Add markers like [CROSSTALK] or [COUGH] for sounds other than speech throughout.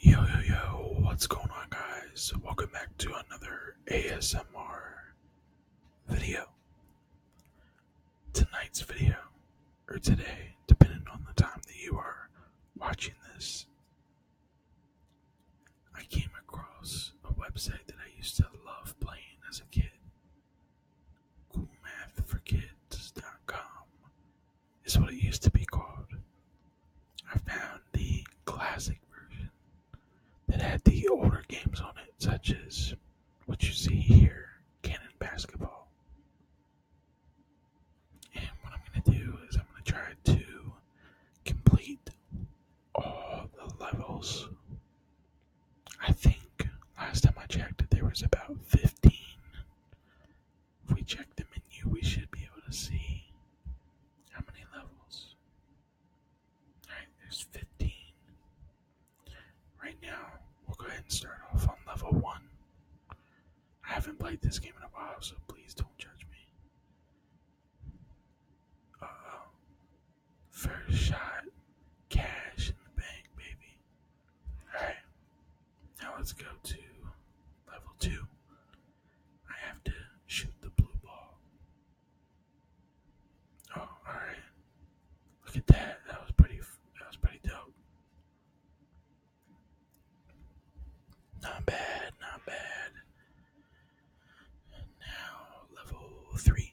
Yo yo yo, what's going on guys? Welcome back to another ASMR video. Tonight's video, or today, depending on the time that you are watching this, I came across a website that I used to love playing as a kid. CoolMathForKids.com is what it used to be called. I found the classic version that had the older games on it, such as what you see here, Cannon Basketball. And what I'm going to do is I'm going to try to complete all the levels. I think last time I checked, there was about 15 if we check the menu, we should be able to see how many levels. Alright, there's 15. Right now, we'll go ahead and start off on level 1. I haven't played this game in a while, so please don't judge me. Uh oh. First shot, cash in the bank, baby. Alright. Now let's go to level two. I have to shoot the blue ball. Oh, alright. Look at that. That was pretty that was pretty dope. Not bad, not bad. now level three.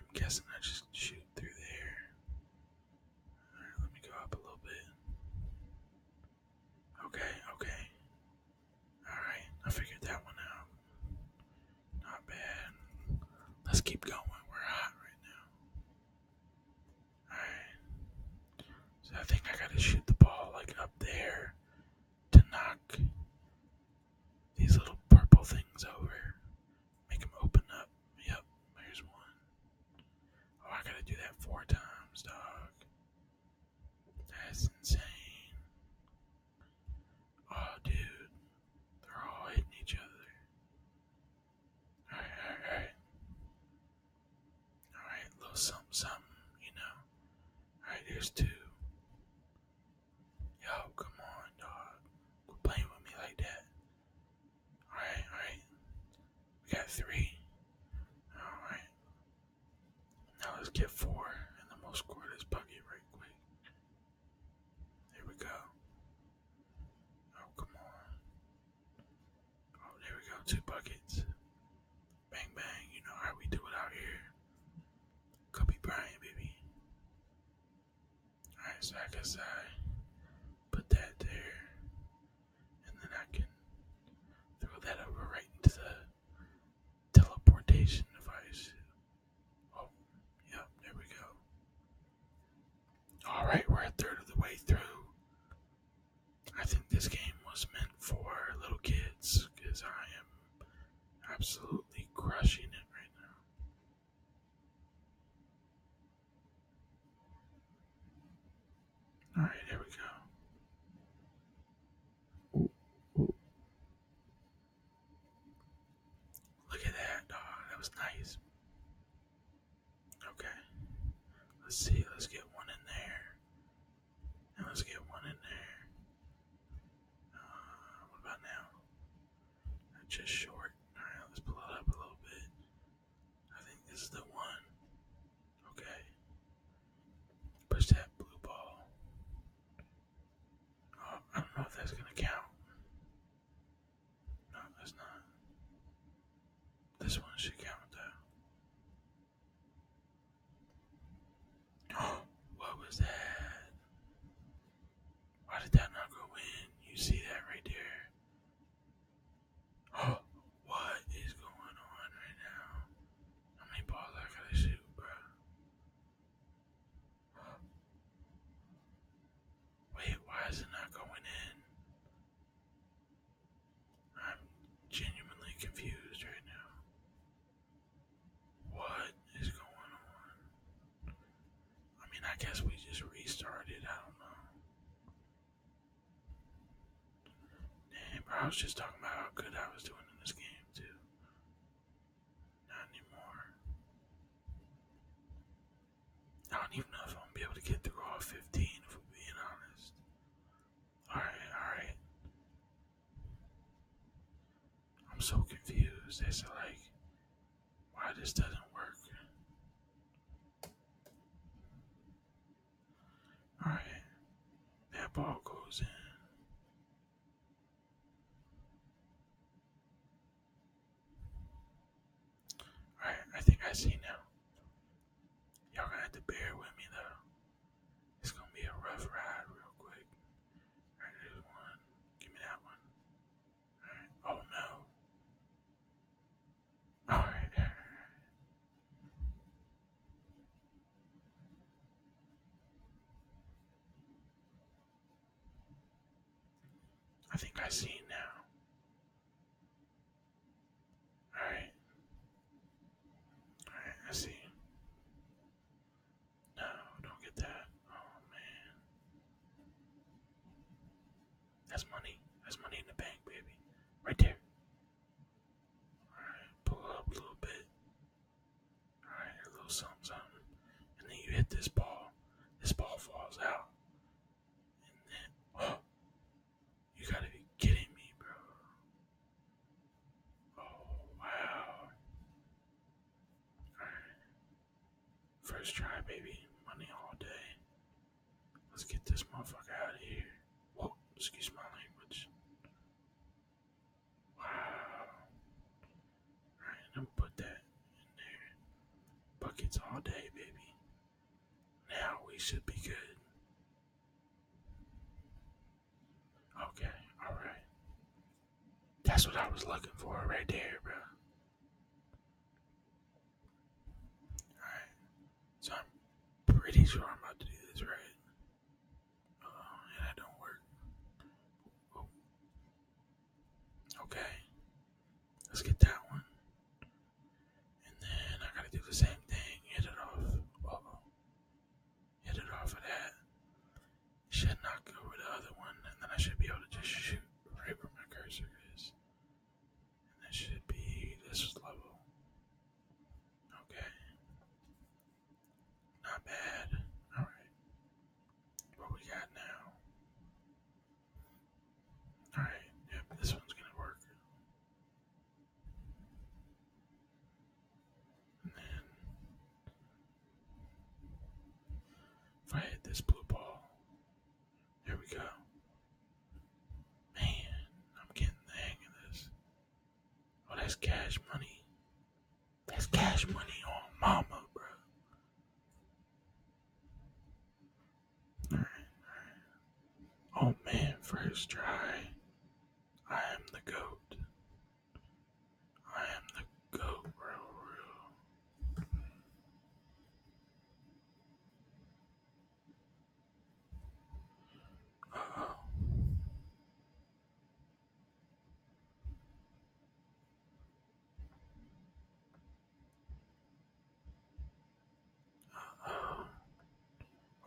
I'm guessing I just shoot through there let me go up a little bit. Okay, okay. Alright, I figured that one out. Not bad. Let's keep going. We're hot right now. Alright. So I think I gotta shoot the ball like up there to knock these little purple things over. Make them open up. Yep, there's one. Oh, I gotta do that four times, dog. That's insane. Oh, dude. They're all hitting each other. Alright, alright, alright. little something, something, you know. Alright, here's two. Yo, come on, dog. Quit playing with me like that. Alright, alright. We got three. Alright. Now let's get four, and then we score this buggy right quick. There we go. Oh, come on. Oh, there we go. Two buckets. Bang, bang. You know how we do it out here. Kobe Bryant, baby. Alright, so I guess I put that there and then I can throw that over right into the teleportation device. Oh, yep, there we go. Alright, we're a third of the way through. I think this game was meant for little kids because I am absolutely crushing it right now. All right, here we go. Look at that. Oh, that was nice. Okay. Let's see. Let's get one in there. And let's get one in there. Uh, what about now? Just short. All right, let's pull it up a little bit. I think this is the one. Okay. Push that blue ball. Oh, I don't know if that's gonna count. No, that's not. This one should count though. Oh, [GASPS] what was that? Why did that not go in? You see that right there? [GASPS] what is going on right now? How many balls I gotta shoot, bro? Wait, why is it not going in? I'm genuinely confused right now. What is going on? I mean, I guess we just restarted. I don't know. I was just talking about how good I was doing in this game, too. Not anymore. I don't even know if I'm gonna be able to get through all 15, if we're being honest. Alright, alright. I'm so confused. They said, like, why this doesn't work. All right. That ball goes in. All right. I think I see now. Y'all gonna have to bear with me though. It's gonna be a rough ride, real quick. All right, there's one. Give me that one. All right. Oh no. All right. I think I see it now. All right. All right, I see. No, don't get that. Oh man. That's money. That's money in the bank, baby. Right there. Alright, pull up a little bit. Alright, a little something, something. And then you hit this ball. This ball falls out. And then, oh, you gotta be kidding me, bro. Oh, wow. Alright. First try, baby. Money all day. Let's get this motherfucker out of here. excuse my language. Wow. Alright, I'm gonna put that in there. Buckets all day, baby. Now we should be good. Okay, alright. That's what I was looking for right there, bro. Alright. So I'm pretty sure I'm about to do this right. Uh, and that don't work. Oh. Okay. Let's get that one. And then I gotta do the same thing. Hit it off. oh Hit it off of that. Should knock over the other one, and then I should be able to just shoot right where my cursor is. And that should be this level. Okay. Not bad. Alright. What we got now? Alright, yep, this one's gonna work. if I hit this blue ball, there we go. Man, I'm getting the hang of this. Oh, that's cash money. That's cash money on mama, bro. Alright, alright. Oh man, first try. I am the goat. I am the goat, bro.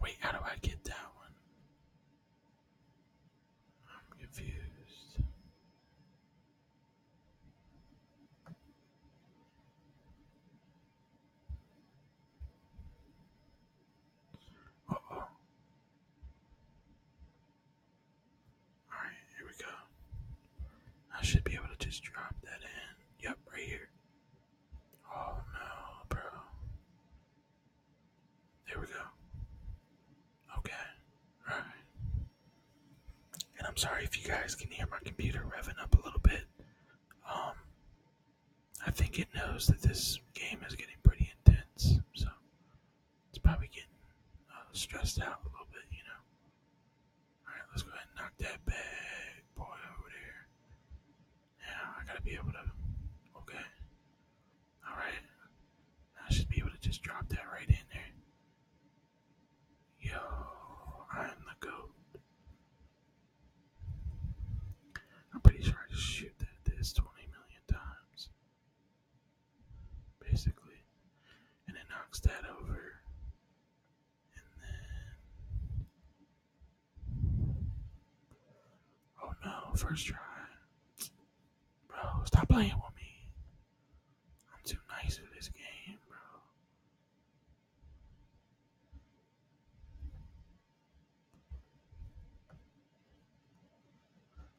Wait, how do I get that one? I'm confused. All right, here we go. I should be able to just drop that in. Yep, right here. Oh no, bro. There we go. Okay. All right. And I'm sorry if you guys can hear my computer revving up a little bit. Um, I think it knows that this game is getting pretty intense, so it's probably getting uh, stressed out a little bit, you know. Alright, let's go ahead and knock that bad boy over there. Now, I gotta be able to. Okay. Alright. I should be able to just drop that right in there. Yo, I'm the goat. I'm pretty sure I just shoot that this 20 million times. Basically. And it knocks that over. Oh no, first try. Bro, stop playing with me. I'm too nice for this game, bro.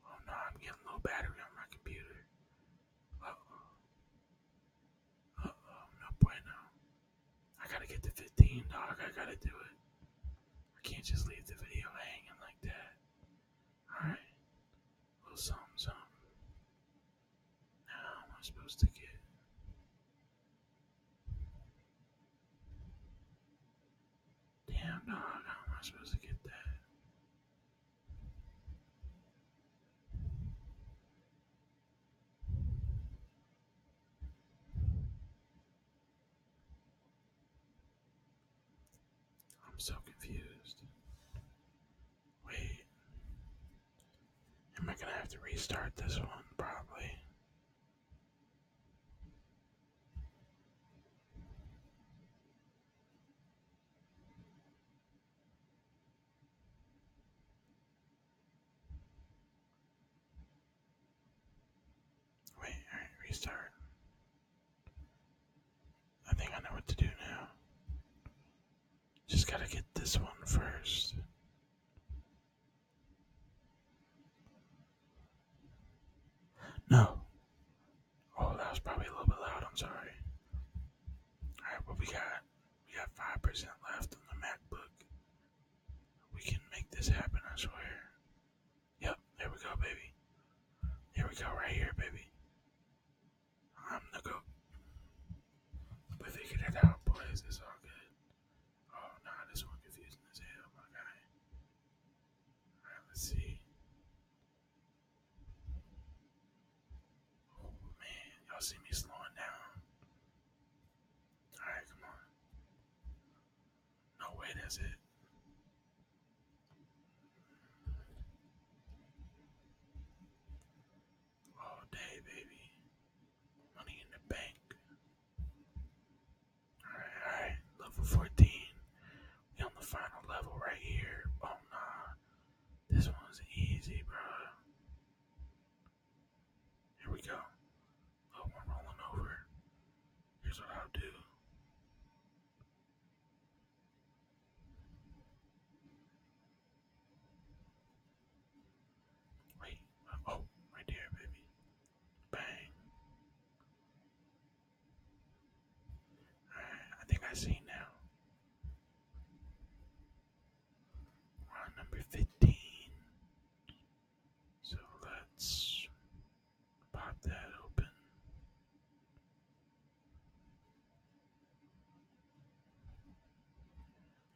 Oh no, I'm getting low battery on my computer. Uh oh. Uh oh, no bueno. I gotta get to 15, dog. I gotta do it. I can't just leave the video hanging like that. Alright. little something, something. How am I supposed to get? Damn dog, how am I supposed to get that? I'm so confused. Wait. Am I gonna have to restart this one? Probably. Wait, alright, restart. I think I know what to do now. Just gotta get this one first. No. Oh, that was probably a little bit loud. I'm sorry. All right, what we got? We got five percent left on the MacBook. We can make this happen. I swear. Yep. There we go, baby. Here we go, right here, baby. I'm the goat. We figured it out, boys. It's all good. Oh, no, this one confusing as hell, my guy. let's see. Oh, man, y'all see me slowing down. Alright, come on. No way, that's it all day, baby. Money in the bank. Alright, alright. Level 14. We on the final level right here. Oh, nah. This one's easy, bro. Here we go. Oh, I'm rolling over. Here's what I'll do. Wait, uh, oh, right there, baby. Bang. I think I see now. Round number 15. So let's pop that open.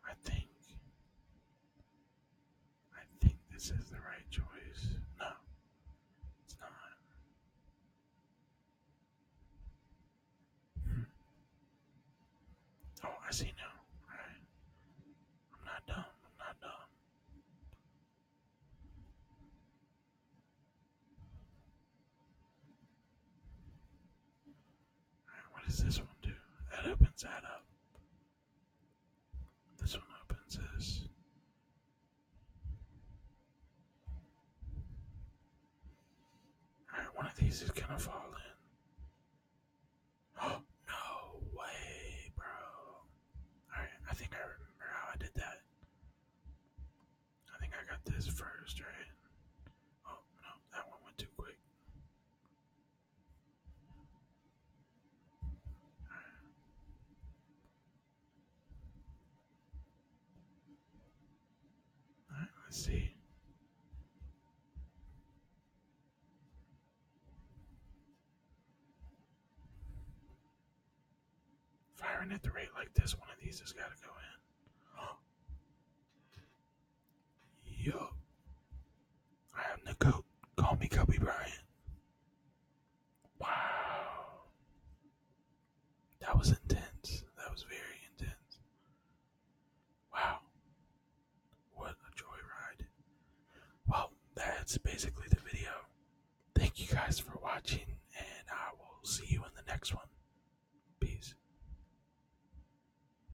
I think I think this is the right choice. No, it's not. Hmm. Oh, I see now. Alright. I'm not dumb. I'm not dumb what does this one do? That opens that up. This one opens this. Alright, one of these is gonna fall in. Oh, [GASPS] no way, bro. Alright, I think I remember how I did that. I think I got this first, right? Oh, no, that one went too quick right, let's see. Firing at the rate like this, one of these has got to go in. Yo, I am the goat. Call me Kobe Bryant. Wow. That was intense. That was very intense. Wow. What a joyride. Well, that's basically the video. Thank you guys for watching, and I will see you in the next one. Peace.